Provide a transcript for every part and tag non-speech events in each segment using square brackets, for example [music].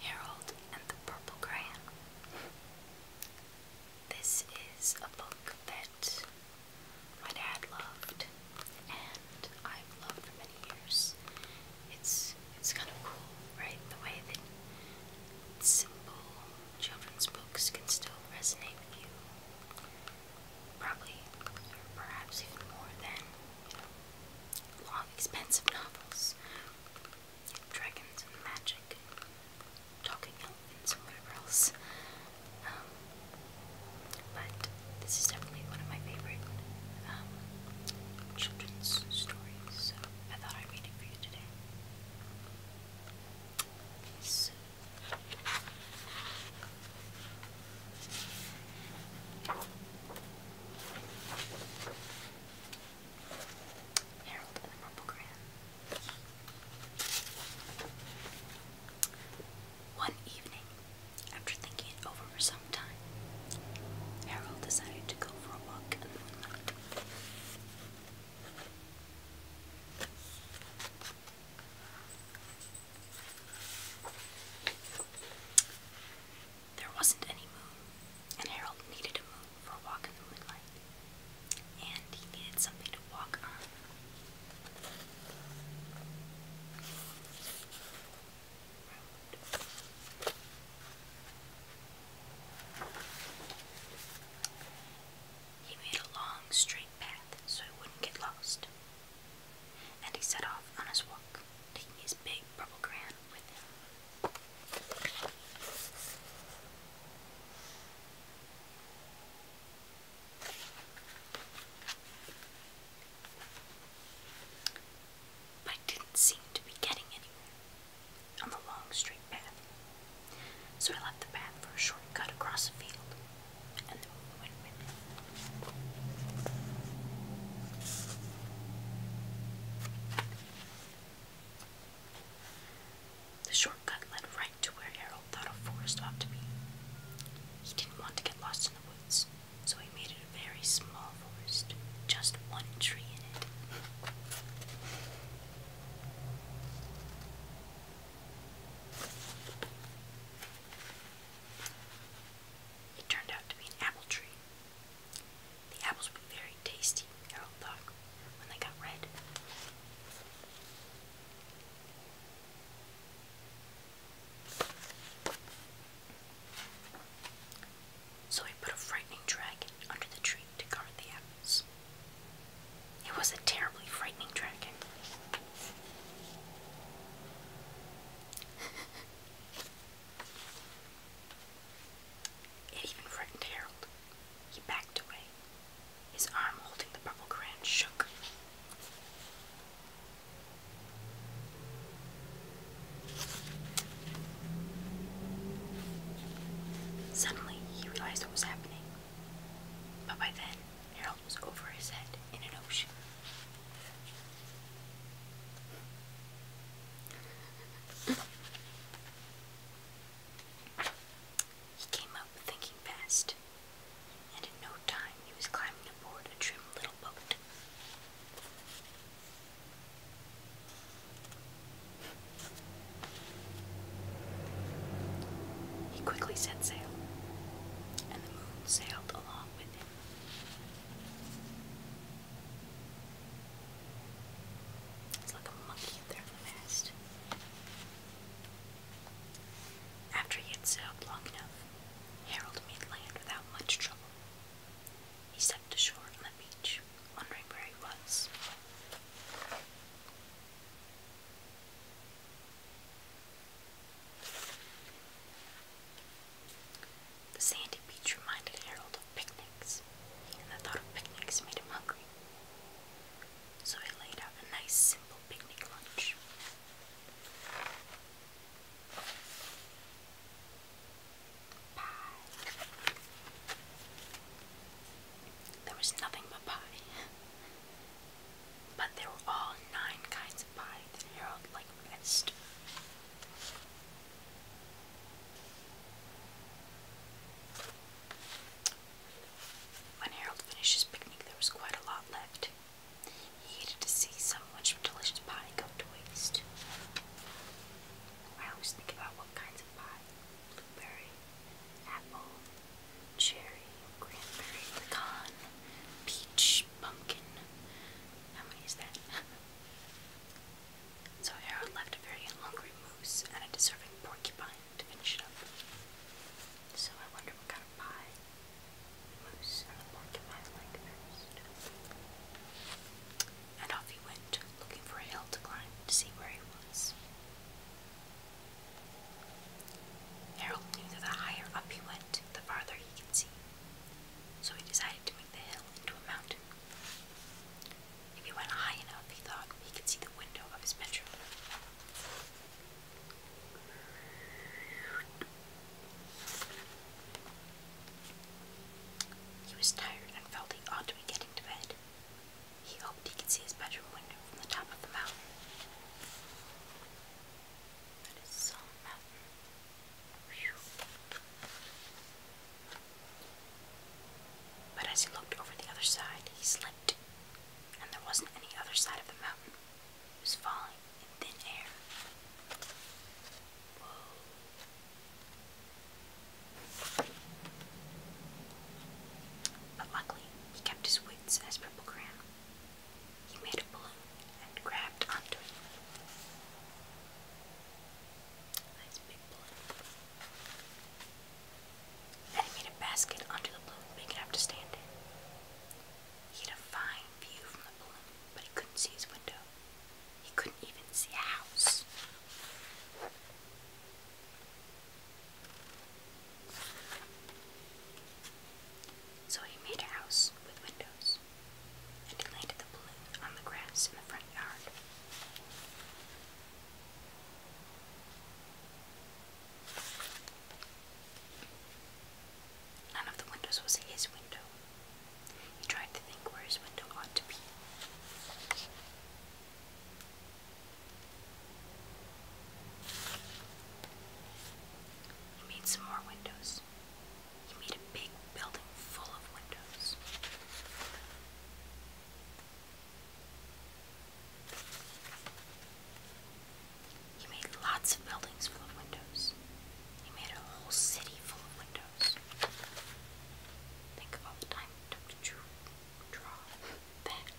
Harold and the Purple Crayon. This is a book that my dad loved and I've loved for many years. It's it's kind of cool, right? The way that simple children's books can still resonate with you. Probably or perhaps even more than long, expensive novels. Dragons and magic, talking elephants, and whatever else. Um, but this is definitely one of my favorite um, children's stories, I thought I'd read it for you today. So, Harold and Rumpelgram. One evening, after thinking it over for some time, Harold decided to go for a walk in the moonlight. There wasn't any moon, and Harold needed a moon for a walk in the moonlight. And he needed something to walk on. He made a long, straight path so he wouldn't get lost and he set off on his walk, taking his big purple gran with him. But it didn't seem to be getting anywhere on the long straight path, so he left the path for a short across a field the shortcut led right to where Harold thought a forest ought to be. He didn't want to get lost in the woods, so he made it a very small forest, just one tree in it. It turned out to be an apple tree. The apples were very tasty, Harold oh, thought, when they got red. So he put a frightening dragon under the tree to guard the apples. It was a terribly frightening dragon. it even frightened Harold. He backed away. His arm holding the purple crayon shook. Suddenly, he realized what was happening. But by then, Harold was over his head in an ocean. he came up thinking fast, and in no time he was climbing aboard a trim little boat. He quickly set sail, and the moon sailed along with him. It's like a monkey up there on the mast. After he had sailed long enough, Harold made land without much trouble. He stepped ashore on the beach, wondering where he was. The sandy beach reminded Harold of picnics, and the thought of picnics made him hungry. So he laid out a nice, simple picnic lunch. There was nothing but pie. But there were all nine kinds of pie that Harold liked best. When Harold finishes picnic, there was quite a lot left. He hated to see so much delicious pie go to waste. I always think about what kinds pie, blueberry, apple, cherry, cranberry, pecan, peach, pumpkin. How many is that? [laughs] so Harold left a very hungry moose and a deserving porcupine to finish it up. So I wonder what kind of pie moose and the porcupine like first and off he went, looking for a hill to climb to see where he was. Harold knew that the higher up he went, the farther he could see, so he decided to make the hill into a mountain. If he went high enough, he thought he could see the window of his bedroom. He was tired and felt he ought to be getting to bed. He hoped he could see his bedroom window from the top of the mountain. But as he looked over the other side, he slipped, and there wasn't any other side of the mountain. It was falling but luckily, he kept his wits as Purple Cram. He made a balloon and grabbed onto it. Nice big balloon. Then he made a basket onto the balloon big enough to stand He had a fine view from the balloon, but he couldn't see his window. He couldn't even see a house. So he made a house with windows, and he landed the balloon on the grass in the front yard. None of the windows was his window. He tried to think where his window ought to be. He made some more windows. He made a big building full of windows. He made lots of buildings full of windows. He made a whole city full of windows. Think of all the time it took to draw, that.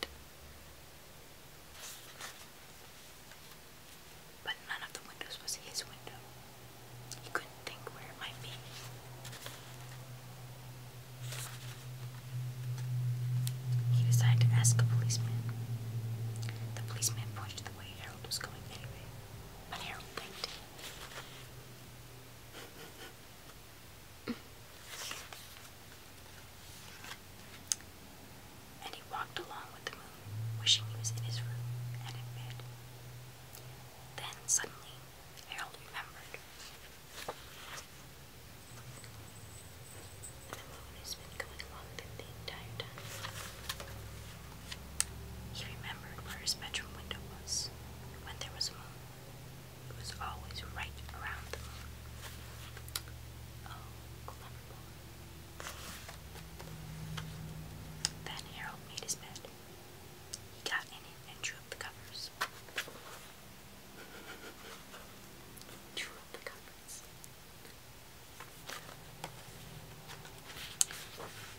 But none of the windows was his window. He couldn't think where it might be. He decided to ask a policeman. The policeman pushed the way Harold was going anyway, but Harold blinked. and he walked along with the moon, wishing he was in his room and in bed. Then suddenly, Harold remembered. The moon has been going along with the entire time. He remembered where his bedroom window was, when there was a moon, it was always right around the moon. Oh, Harold made his bed. He got in and drew up the covers. [laughs] Drew up the covers.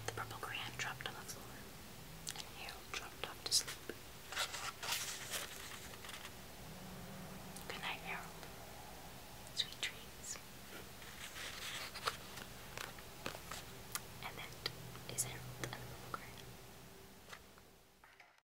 The purple crayon dropped on the floor, and Harold dropped off to sleep. Good night, Harold. Sweet dreams. And that is Harold and the purple crayon.